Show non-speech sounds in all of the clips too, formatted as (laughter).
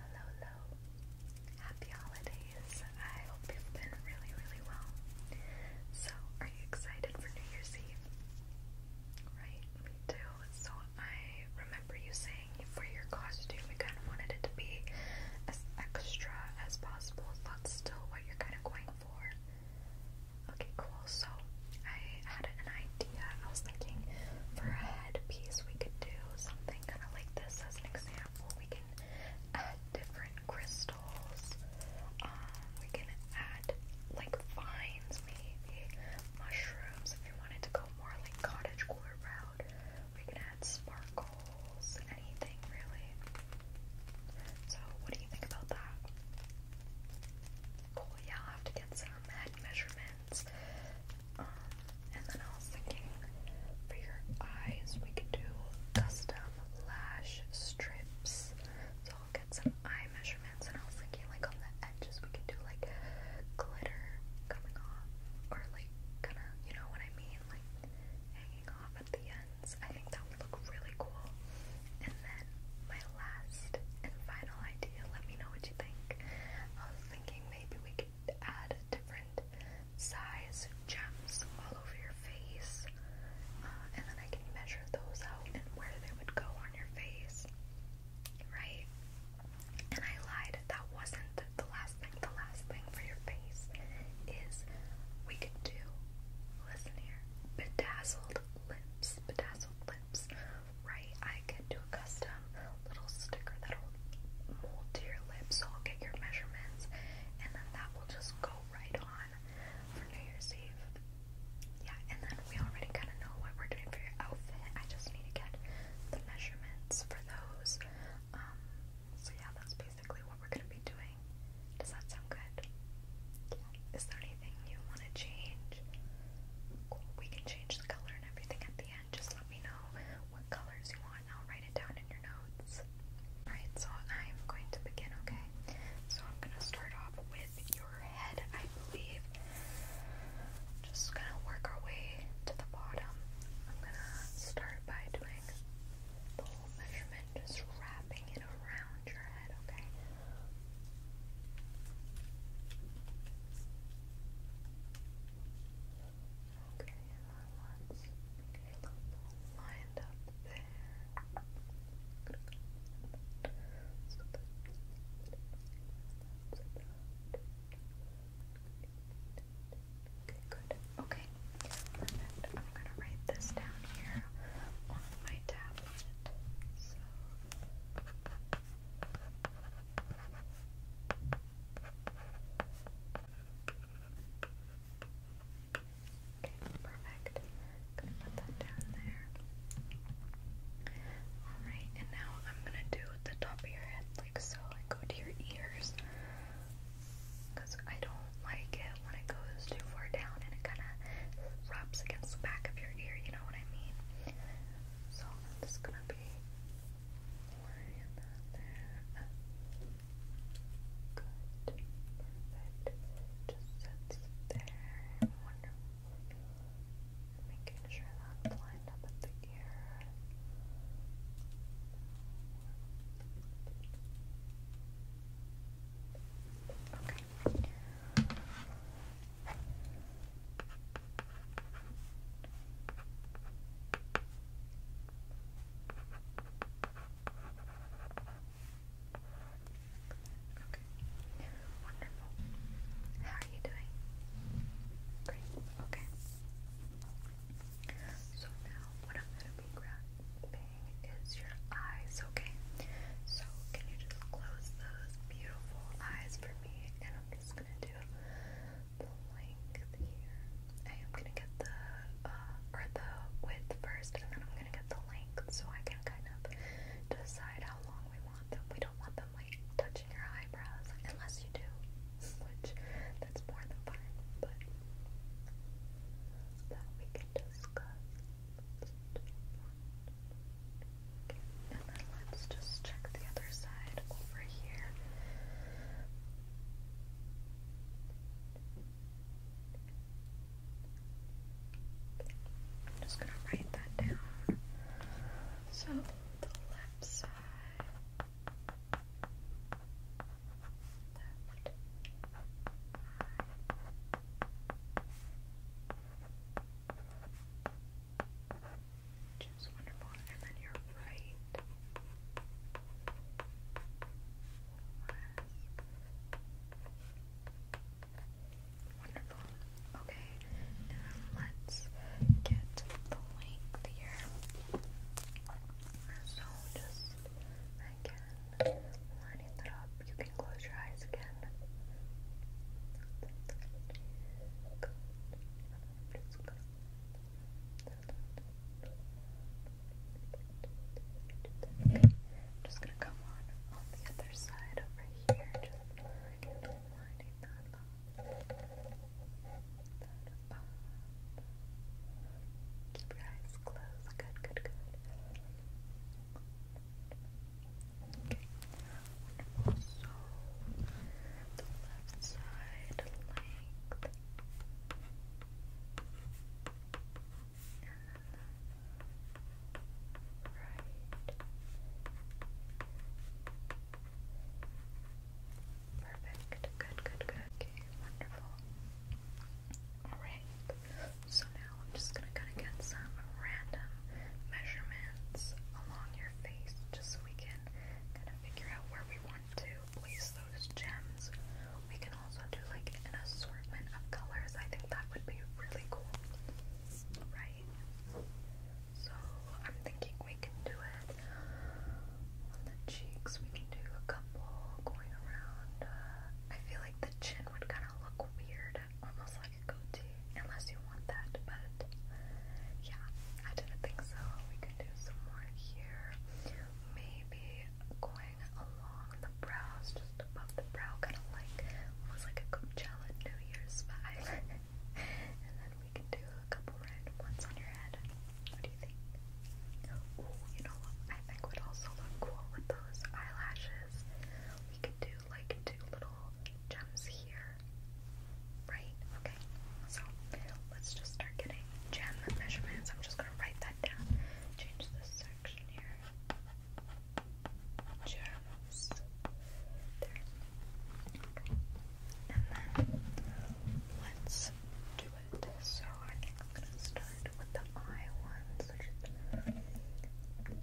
Hello, Happy holidays. I hope you've been really, really well. So, are you excited for New Year's Eve? Right, me too. So, I remember you saying for your costume, we kind of wanted it to be as extra as possible. That's still what you're kind of going for. Okay, cool. So, I had an idea idea. I was thinking for a headpiece, we could do something kind of like this as an example. We can add different crystals, um, we can add like vines, maybe mushrooms. If you wanted to go more like cottage cooler route, we can add sparkles, anything really. So, what do you think about that? Cool, yeah, I'll have to get some head measurements. Um, and then I was thinking for your eyes, we could do custom lash strips. So I'll get some eye measurements, and I was thinking like on the edges, we could do like glitter coming off, or like kind of, you know what I mean, like hanging off at the ends. I think that would look really cool. And then my last and final idea, let me know what you think. I was thinking maybe we could add different size gems all over your face, uh, and then I can measure those out and where they would go on your face, right? And I lied, that wasn't the last thing. The last thing for your face is we could do, listen here, bedazzled lips. Bedazzled lips times, right? I can do a custom little sticker that'll mold to your lips, so I'll get your measurements, and then that will just go right on for New Year's Eve. Yeah, and then we already kind of know what we're doing for your outfit. I just need to get the measurements for those. Um, so yeah, that's basically what we're gonna be doing. Does that sound good? Yeah. Is there anything you want to change? Cool. We can change the color and everything at just let me know what colors you want. I'll write it down in your notes. Alright, so I'm going to begin, okay? So I'm going to start off with your head, I believe. Just going to work our way to the bottom. I'm going to start by doing the whole measurement, just wrapping it around your head, okay? Okay, and let lined up there. Okay, good. Okay, perfect. I'm gonna write this down here on my tablet. So. Okay, perfect. Gonna put that down there. Alright, and now I'm gonna do the top of your head like so and go to your ears. Because I don't like it when it goes too far down and it kind of rubs against the back of your ear, you know what I mean? So I'm just gonna be there. Good. Perfect. Just sits there. Wonderful. Making sure that's lined up at the ear. Okay. Okay. Wonderful. How are you doing? Great. Okay. So now what I'm gonna is your eyes, okay? So can you just close those beautiful eyes for and I'm just gonna do the length here. I am gonna get the uh, or the width first, and then I'm gonna get the length so I can kind of decide how long we want them. We don't want them like touching your eyebrows, unless you do, (laughs) which that's more than fine, but that we can discuss and then let's just check the other side over here. I'm just gonna write that down. So the left side. Left which wonderful. And then your right wonderful. Okay, let's get the length here. So just again lining that up. You close your eyes again. just gonna come on the other side over here, just lining that up. That up. Keep your eyes closed. Good, good, good. Okay. Wonderful. the left side length. And then the right. Perfect. Good, good, good. Okay, wonderful. Alright. So now I'm just going to kind of get some random measurements along your face just so we can kind of figure out where we want to place those gems. We can also do like an assortment of colors. I think that would be really cool. Right? So I'm thinking we can do it on the cheeks. We can do a couple going around. Uh, I feel like the chin would kind look weird, almost like a goatee, unless you want that. But yeah, I didn't think so. We can do some more here, maybe going along the brows, just above the brow, kind of like almost like a Coachella New Year's vibe. (laughs) and then we can do a couple random ones on your head. What do you think? you know what? I think would also look cool with those eyelashes. We could do like two little gems here. Right? Okay. So let's just start getting gem measurements. I'm just gonna write that down. Change this section here. Gems. And then let's do it. So I am gonna start with the eye ones,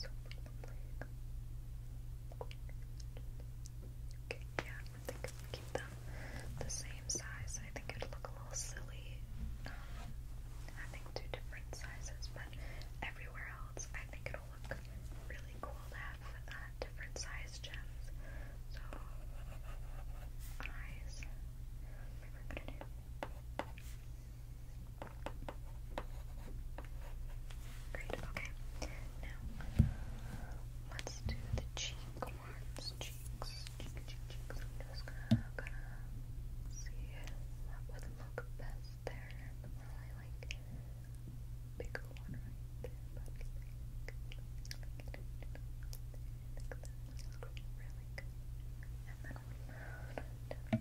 So Okay, yeah, I think if we keep them the same size, I think it'd look a little silly um, having two different sizes, but everywhere else, I think it'll look really cool to have different size gems. So, eyes, maybe we Great, okay. Now, let's do the cheek ones. Cheeks, cheeks. I'm just gonna, see what would look best there. i really like pick one right there,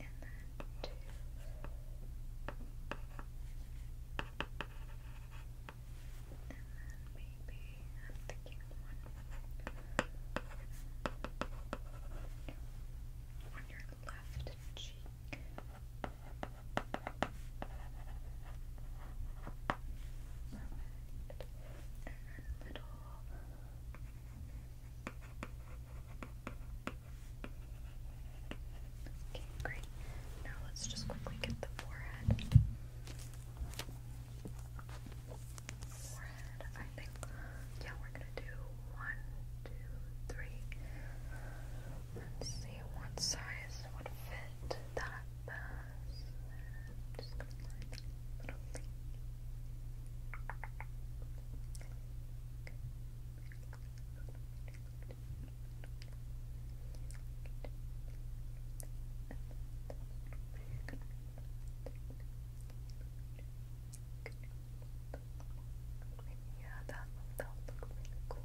and then two. And then maybe I'm thinking one on your left cheek. And then little Okay, great. Now let's just quickly get the forehead. Forehead, I think. Yeah, we're gonna do one, two, three. Let's see what size would fit that best. Just gonna line that little thing. Yeah, that that cool.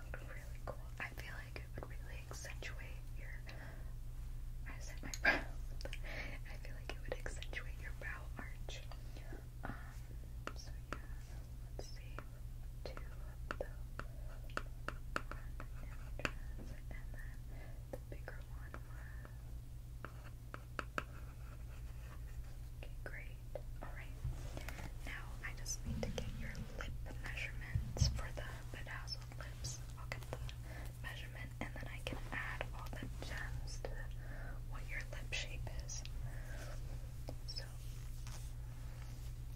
look really cool. I feel like it would really accentuate your. I said my (laughs) brow. I feel like it would accentuate your brow arch. Um, so yeah. Let's see. Two of those. One images, and then the bigger one Okay, great. Alright. Now I just need to get your lip measurements for the bedazzled lips. i the measurement and then I can add all the gems to what your lip shape is. So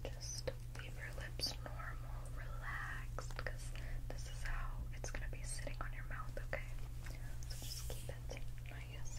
just leave your lips normal, relaxed, because this is how it's gonna be sitting on your mouth, okay? So just keep it nice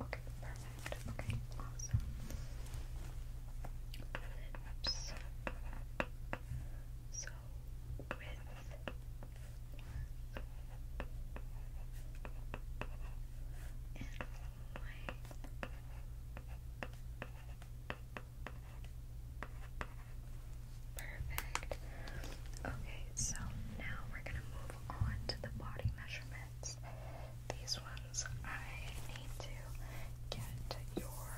Okay, perfect. Okay, awesome. Clips. So, with and length. Perfect. Okay, so now we're gonna move on to the body measurements. These ones I need to get your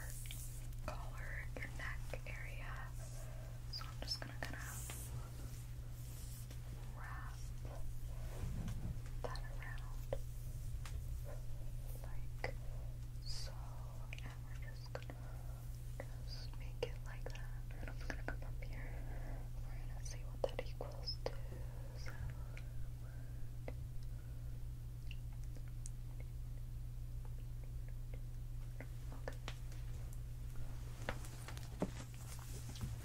collar, your neck area. So I'm just gonna kind of wrap that around like so, and we're just gonna just make it like that. And I'm gonna come up here. We're gonna see what that equals to. So Okay.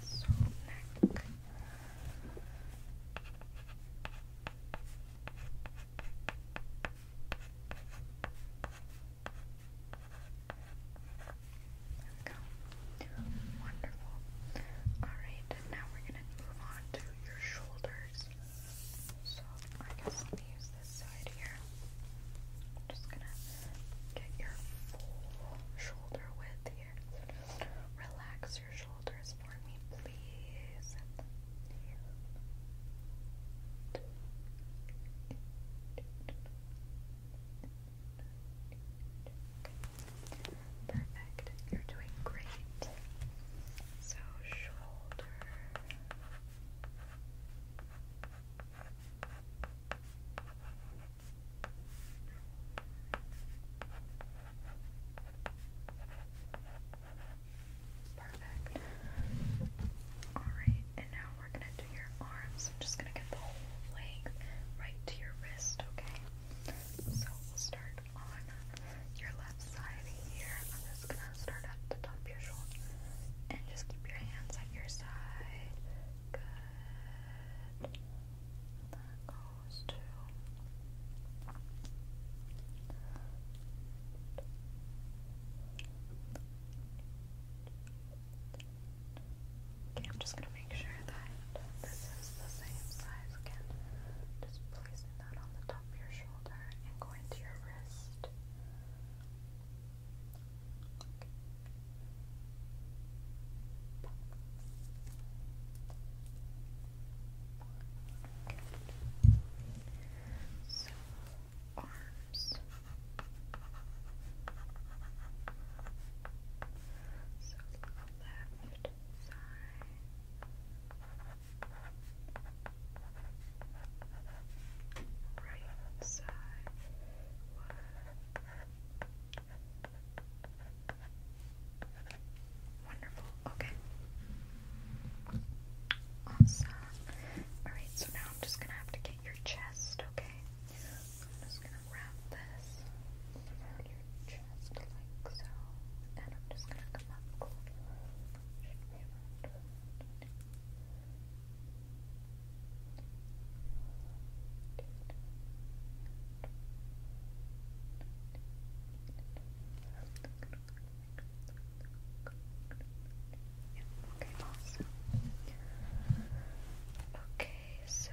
So neck. Okay. There we Wonderful. Alright, now we're gonna move on to your shoulders. So I guess let me use this side here. just gonna get your shoulder width here. relax your shoulders for me, please. Okay. Perfect. You're doing great. So shoulder. Perfect. Alright, and now we're gonna do your arms. I'm just gonna get the whole length right to your wrist, okay? So we'll start on your left side here. I'm just gonna start at the top of your shoulder. And just keep your hands at your side. Good. That goes to Okay, I'm just gonna make sure that this is the same size again. Just placing that on the top of your shoulder and going to your wrist. arms. So left side. Right side. One. Wonderful. Okay. Awesome. Alright, so now I'm just gonna have to get your chest, okay? I'm just gonna wrap this around your chest like so. And I'm just gonna come up close. Okay, yeah, okay, awesome. Okay, so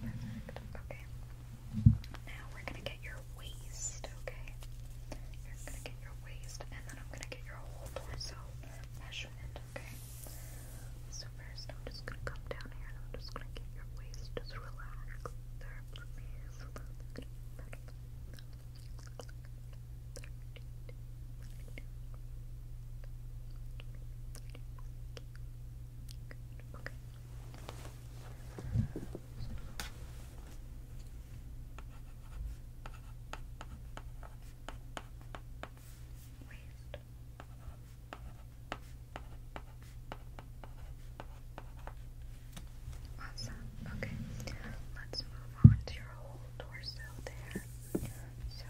Perfect. Okay. Now we're gonna get your waist, okay? You're gonna get your waist, and then I'm gonna get your whole torso measurement, okay? So first, I'm just gonna come down here, and I'm just gonna get your waist, just relax there, please. Okay. So, Waist. Awesome. Okay. Let's move on to your whole torso there. So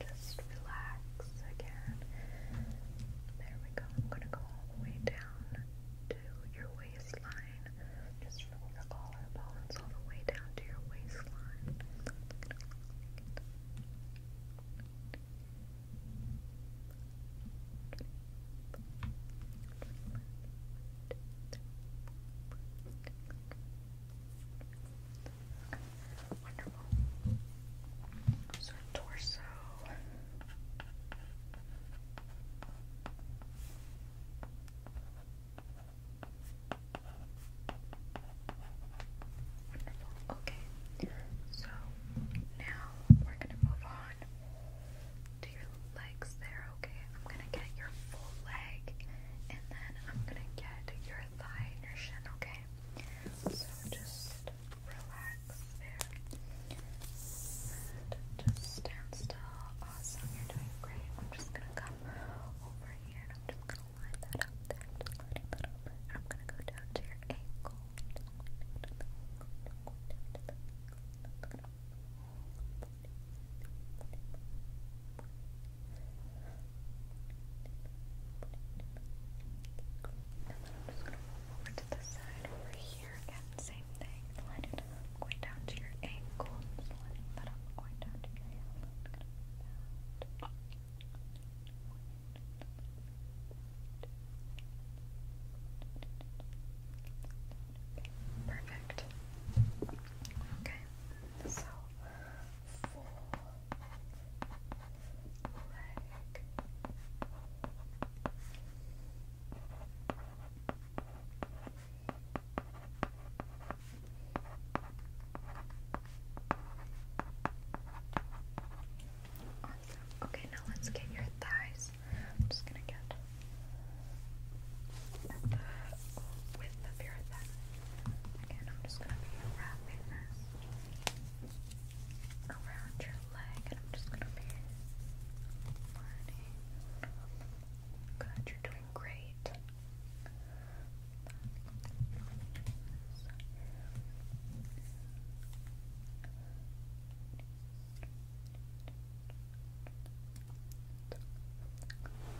just relax again. There we go. I'm gonna go all the way down your waistline, just from your collarbones all the way down to your waistline. Wonderful. So torso. Wonderful. Okay. So now we're gonna move on to your legs there, okay? I'm gonna get your full leg and then I'm gonna get your thigh and your shin, okay? So just relax there just stand still. Awesome, you're doing great. I'm just gonna come over here and I'm just gonna line that up there. just lining that up. I'm gonna go down to your ankle. I'm just going to move over to the side over here again, same thing, line it up going down to your ankles, letting that up, going down to your heel, Perfect. Okay, so full leg. Okay, now let's get your thighs. I'm just gonna get the width of your thigh. Again, I'm just gonna be wrapping this around your leg, and I'm just gonna be Good, you're doing great.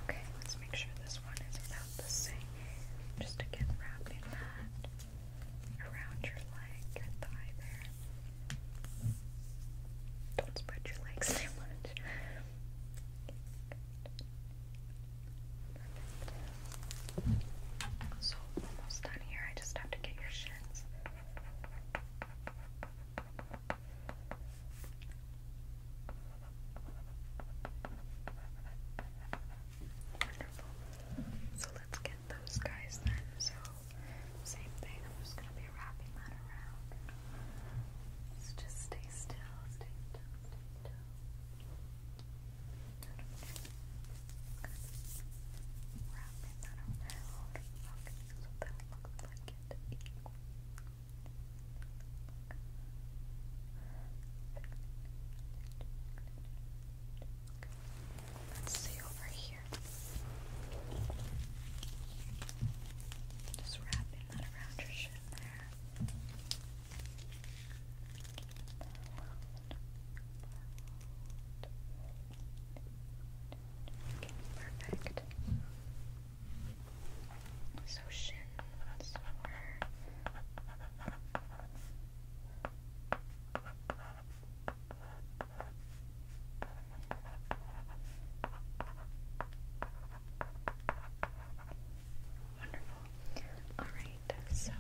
Okay, let's make sure this one is without the sink. Just again, wrapping that around your leg, your thigh there. Don't spread your legs too much. So almost done here. I just have to get your shins. Wonderful. So let's get those guys then. So same thing, I'm just going to be wrapping that around. So just stay still, stay still, stay still. Wrapping that around. Let's see over here. Just wrapping that around your shin there. perfect. So shin somewhere. Wonderful. Alright, so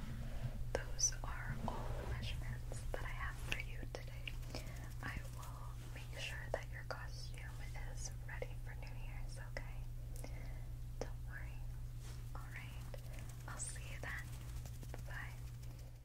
those are all the measurements that I have for you today. I will make sure that your costume is ready for New Year's, okay? Don't worry. Alright, I'll see you then. Bye.